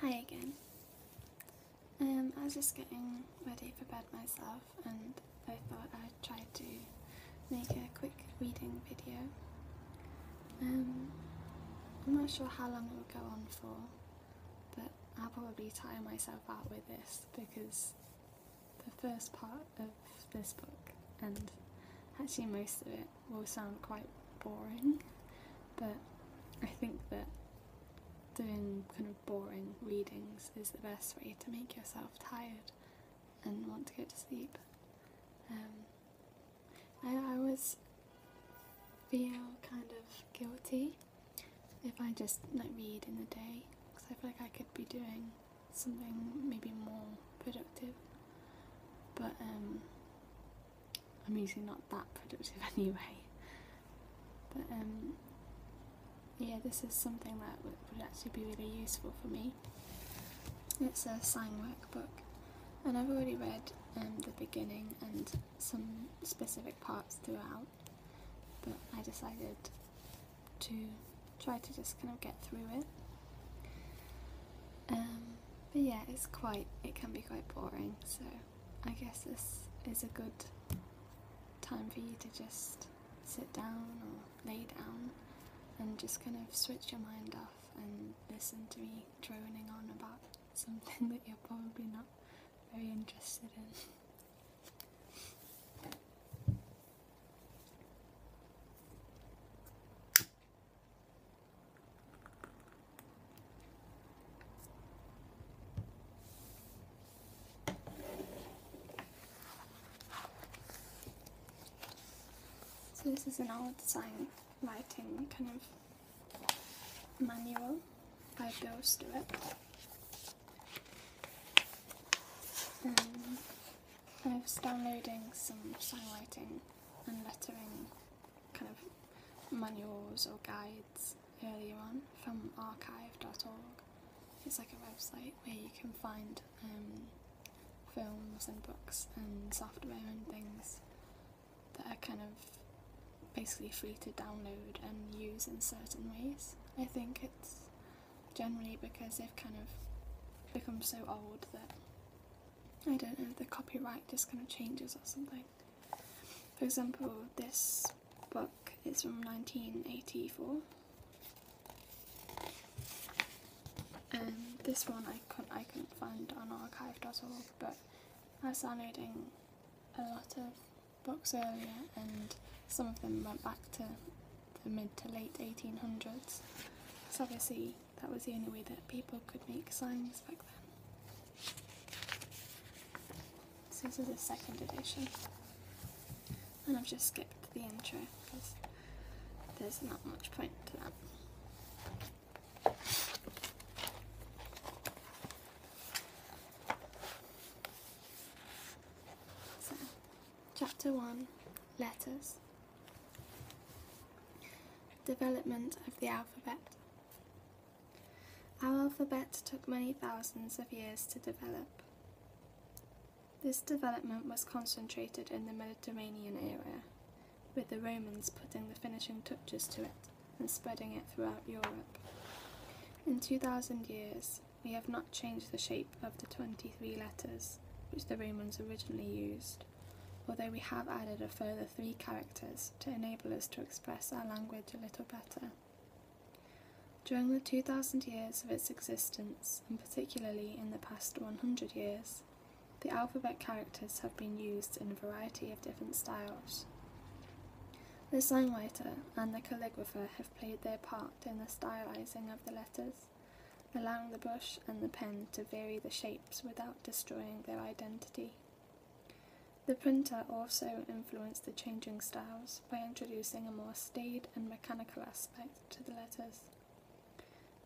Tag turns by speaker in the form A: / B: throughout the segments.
A: Hi again. Um, I was just getting ready for bed myself and I thought I'd try to make a quick reading video. Um, I'm not sure how long it will go on for, but I'll probably tire myself out with this because the first part of this book and actually most of it will sound quite boring, but I think that doing kind of boring readings is the best way to make yourself tired and want to go to sleep. Um, I, I always feel kind of guilty if I just like read in the day because I feel like I could be doing something maybe more productive. But um, I'm usually not that productive anyway. But um, yeah, this is something that would, actually be really useful for me. It's a sign workbook, and I've already read um, the beginning and some specific parts throughout, but I decided to try to just kind of get through it. Um, but yeah, it's quite, it can be quite boring, so I guess this is a good time for you to just sit down or lay down and just kind of switch your mind off and listen to me droning on about something that you're probably not very interested in. So this is an old design lighting kind of manual by Bill Stewart. Um, I was downloading some sign lighting and lettering kind of manuals or guides earlier on from archive.org. It's like a website where you can find um, films and books and software and things that are kind of basically free to download and use in certain ways. I think it's generally because they've kind of become so old that I don't know, the copyright just kind of changes or something. For example, this book is from 1984. And this one I couldn't, I couldn't find on archive.org, but I was downloading a lot of books earlier, and some of them went back to the mid to late 1800s. So obviously, that was the only way that people could make signs back then. this is the second edition. And I've just skipped the intro because there's not much point to that. So, chapter 1 Letters Development of the alphabet our alphabet took many thousands of years to develop. This development was concentrated in the Mediterranean area, with the Romans putting the finishing touches to it and spreading it throughout Europe. In 2,000 years, we have not changed the shape of the 23 letters which the Romans originally used, although we have added a further three characters to enable us to express our language a little better. During the 2,000 years of its existence, and particularly in the past 100 years, the alphabet characters have been used in a variety of different styles. The songwriter and the calligrapher have played their part in the stylising of the letters, allowing the brush and the pen to vary the shapes without destroying their identity. The printer also influenced the changing styles by introducing a more staid and mechanical aspect to the letters.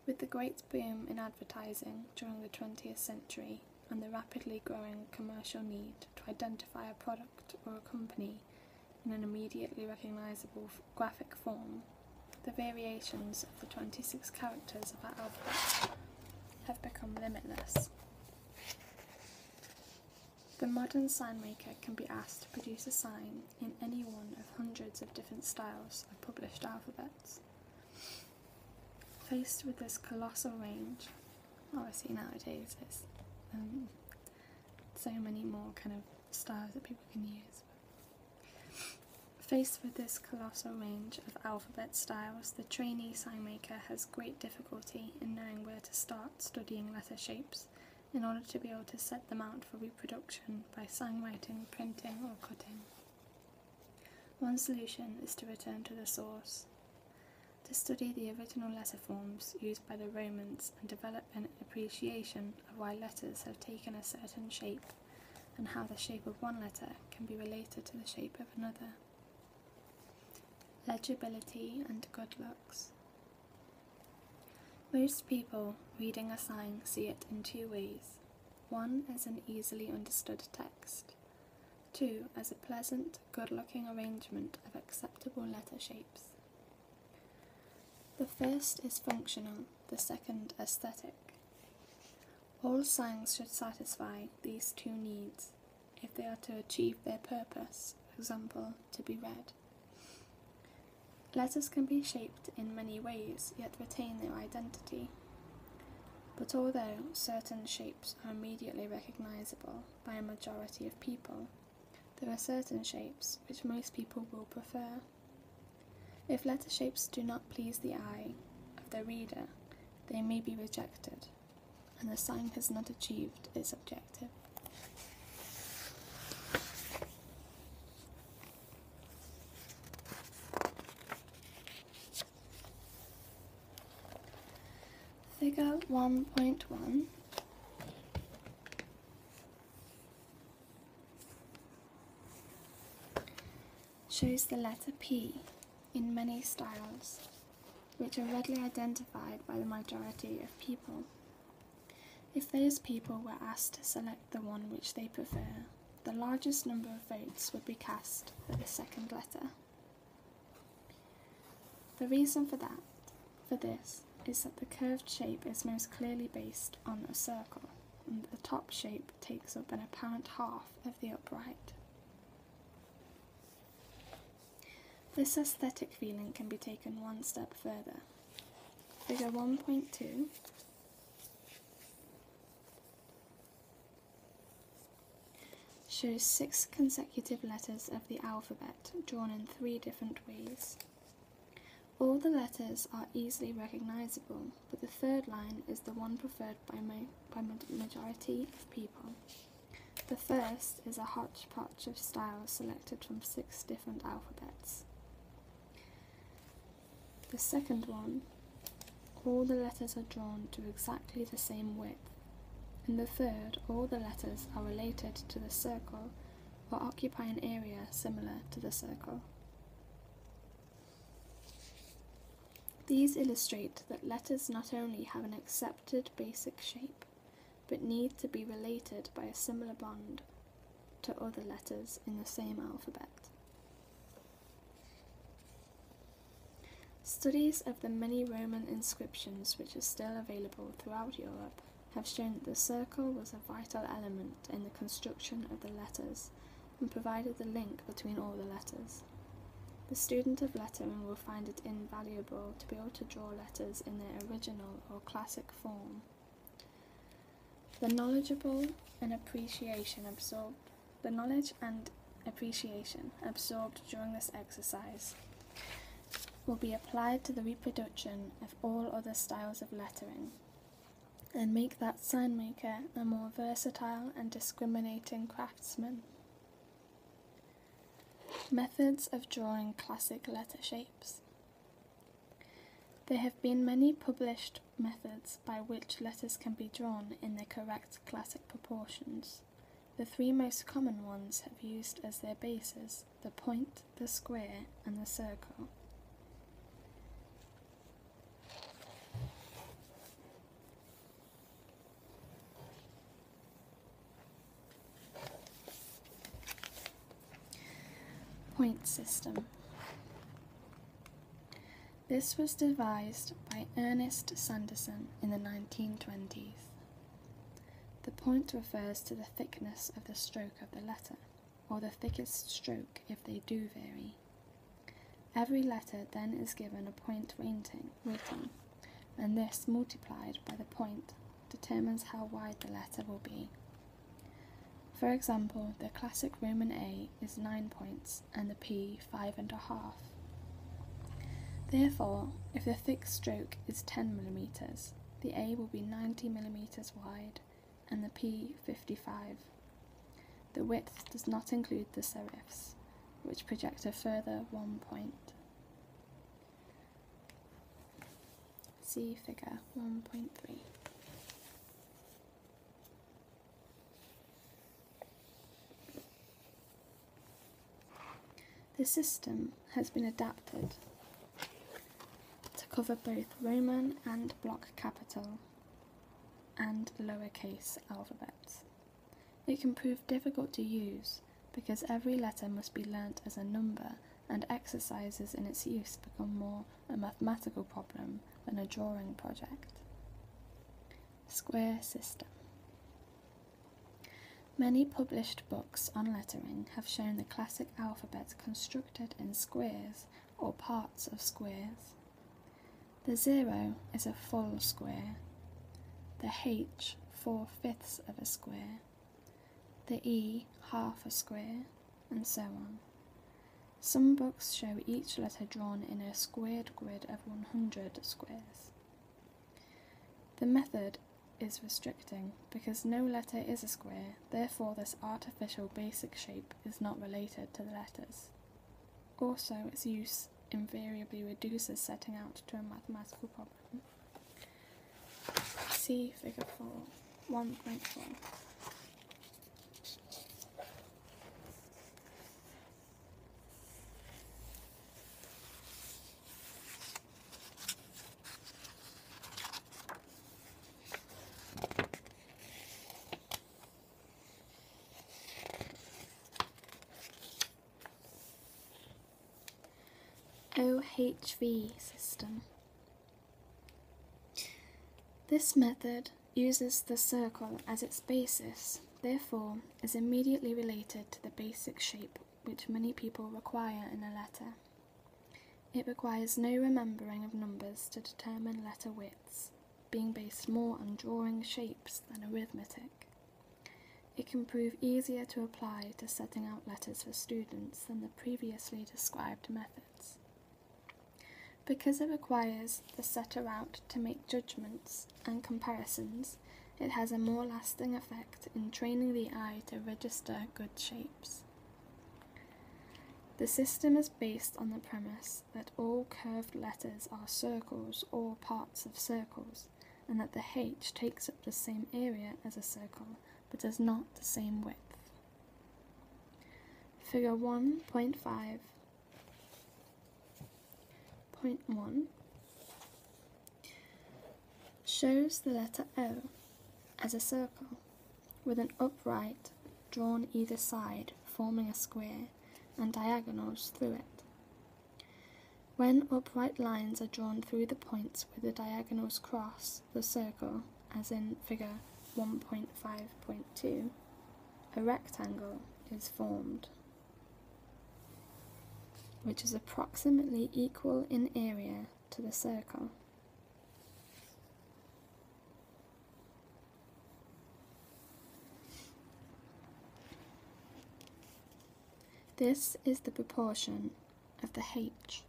A: With the great boom in advertising during the 20th century and the rapidly growing commercial need to identify a product or a company in an immediately recognisable graphic form, the variations of the 26 characters of our alphabet have become limitless. The modern sign maker can be asked to produce a sign in any one of hundreds of different styles of published alphabets. Faced with this colossal range, obviously oh, nowadays there's um, so many more kind of styles that people can use. Faced with this colossal range of alphabet styles, the trainee sign maker has great difficulty in knowing where to start studying letter shapes in order to be able to set them out for reproduction by signwriting, printing, or cutting. One solution is to return to the source, to study the original letter forms used by the Romans and develop an appreciation of why letters have taken a certain shape and how the shape of one letter can be related to the shape of another. Legibility and good looks. Most people reading a sign see it in two ways. One as an easily understood text, two as a pleasant, good looking arrangement of acceptable letter shapes. The first is functional, the second aesthetic. All signs should satisfy these two needs if they are to achieve their purpose, for example, to be read. Letters can be shaped in many ways, yet retain their identity. But although certain shapes are immediately recognisable by a majority of people, there are certain shapes which most people will prefer. If letter shapes do not please the eye of the reader, they may be rejected, and the sign has not achieved its objective. Figure 1.1 shows the letter P in many styles, which are readily identified by the majority of people. If those people were asked to select the one which they prefer, the largest number of votes would be cast for the second letter. The reason for that, for this, is that the curved shape is most clearly based on a circle, and the top shape takes up an apparent half of the upright. This aesthetic feeling can be taken one step further. Figure 1.2 shows six consecutive letters of the alphabet drawn in three different ways. All the letters are easily recognizable but the third line is the one preferred by mo by majority of people. The first is a hodgepodge of styles selected from six different alphabets. The second one, all the letters are drawn to exactly the same width. In the third, all the letters are related to the circle or occupy an area similar to the circle. These illustrate that letters not only have an accepted basic shape, but need to be related by a similar bond to other letters in the same alphabet. Studies of the many Roman inscriptions which are still available throughout Europe have shown that the circle was a vital element in the construction of the letters and provided the link between all the letters. The student of lettering will find it invaluable to be able to draw letters in their original or classic form. The knowledgeable and appreciation absorbed the knowledge and appreciation absorbed during this exercise will be applied to the reproduction of all other styles of lettering and make that sign maker a more versatile and discriminating craftsman. Methods of drawing classic letter shapes. There have been many published methods by which letters can be drawn in the correct classic proportions. The three most common ones have used as their bases the point, the square, and the circle. Point system. This was devised by Ernest Sanderson in the 1920s. The point refers to the thickness of the stroke of the letter, or the thickest stroke if they do vary. Every letter then is given a point rating, and this multiplied by the point determines how wide the letter will be. For example, the classic Roman A is 9 points and the P 5.5. Therefore, if the thick stroke is 10 millimeters, the A will be 90 millimeters wide and the P 55. The width does not include the serifs, which project a further one point. See figure 1.3. The system has been adapted to cover both Roman and block capital and lowercase alphabets. It can prove difficult to use because every letter must be learnt as a number and exercises in its use become more a mathematical problem than a drawing project. Square system. Many published books on lettering have shown the classic alphabets constructed in squares or parts of squares. The zero is a full square, the h four fifths of a square, the e half a square, and so on. Some books show each letter drawn in a squared grid of 100 squares. The method is restricting because no letter is a square, therefore, this artificial basic shape is not related to the letters. Also, its use invariably reduces setting out to a mathematical problem. See figure 4, 1.4. OHV system. This method uses the circle as its basis, therefore is immediately related to the basic shape which many people require in a letter. It requires no remembering of numbers to determine letter widths being based more on drawing shapes than arithmetic. It can prove easier to apply to setting out letters for students than the previously described methods. Because it requires the setter out to make judgments and comparisons, it has a more lasting effect in training the eye to register good shapes. The system is based on the premise that all curved letters are circles or parts of circles, and that the h takes up the same area as a circle but does not the same width. Figure 1.5. Point one shows the letter O as a circle with an upright drawn either side forming a square and diagonals through it. When upright lines are drawn through the points where the diagonals cross the circle, as in figure 1.5.2, a rectangle is formed, which is approximately equal in area to the circle. This is the proportion of the H.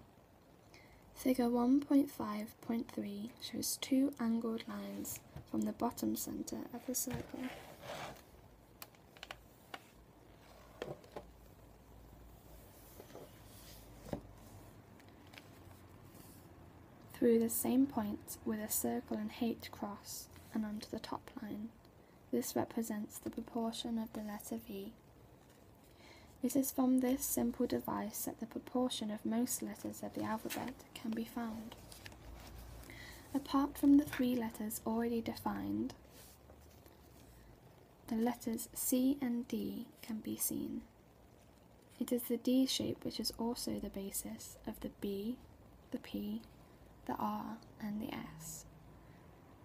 A: Figure 1.5.3 shows two angled lines from the bottom centre of the circle through the same point with a circle and H cross and onto the top line. This represents the proportion of the letter V. It is from this simple device that the proportion of most letters of the alphabet can be found. Apart from the three letters already defined, the letters C and D can be seen. It is the D shape which is also the basis of the B, the P, the R, and the S.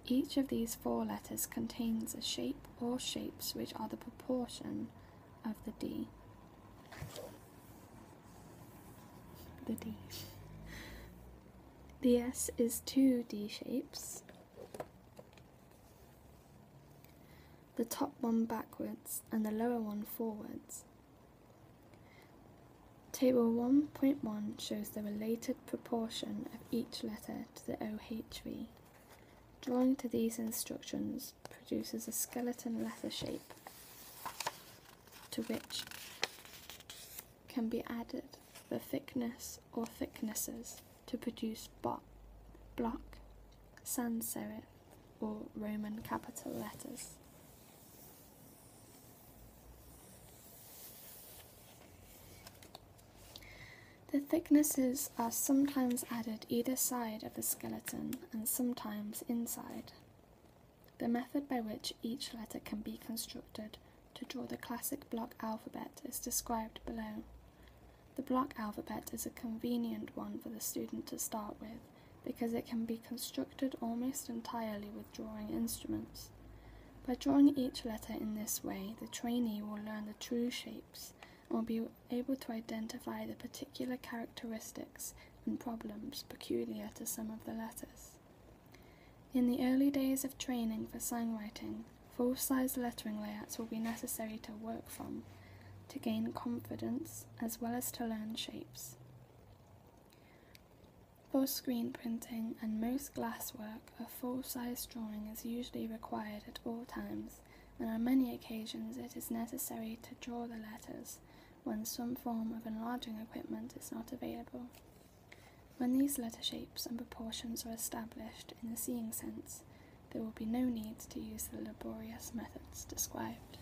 A: Each of these four letters contains a shape or shapes which are the proportion of the D. The D. The S is two D shapes. The top one backwards and the lower one forwards. Table 1.1 shows the related proportion of each letter to the OHV. Drawing to these instructions produces a skeleton letter shape to which can be added the thickness or thicknesses to produce block, sans serif, or Roman capital letters. The thicknesses are sometimes added either side of the skeleton and sometimes inside. The method by which each letter can be constructed to draw the classic block alphabet is described below. The block alphabet is a convenient one for the student to start with because it can be constructed almost entirely with drawing instruments. By drawing each letter in this way, the trainee will learn the true shapes and will be able to identify the particular characteristics and problems peculiar to some of the letters. In the early days of training for songwriting, full size lettering layouts will be necessary to work from to gain confidence as well as to learn shapes. For screen printing and most glasswork, a full-size drawing is usually required at all times, and on many occasions it is necessary to draw the letters when some form of enlarging equipment is not available. When these letter shapes and proportions are established in the seeing sense, there will be no need to use the laborious methods described.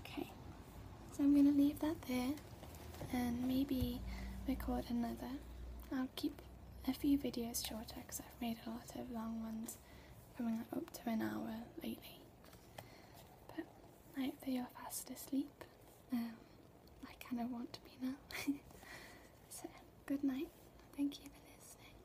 A: Okay, so I'm gonna leave that there and maybe record another. I'll keep a few videos shorter because I've made a lot of long ones coming up to an hour lately. But I hope that you're fast asleep. Um, I kind of want to be now. so, good night. Thank you for listening.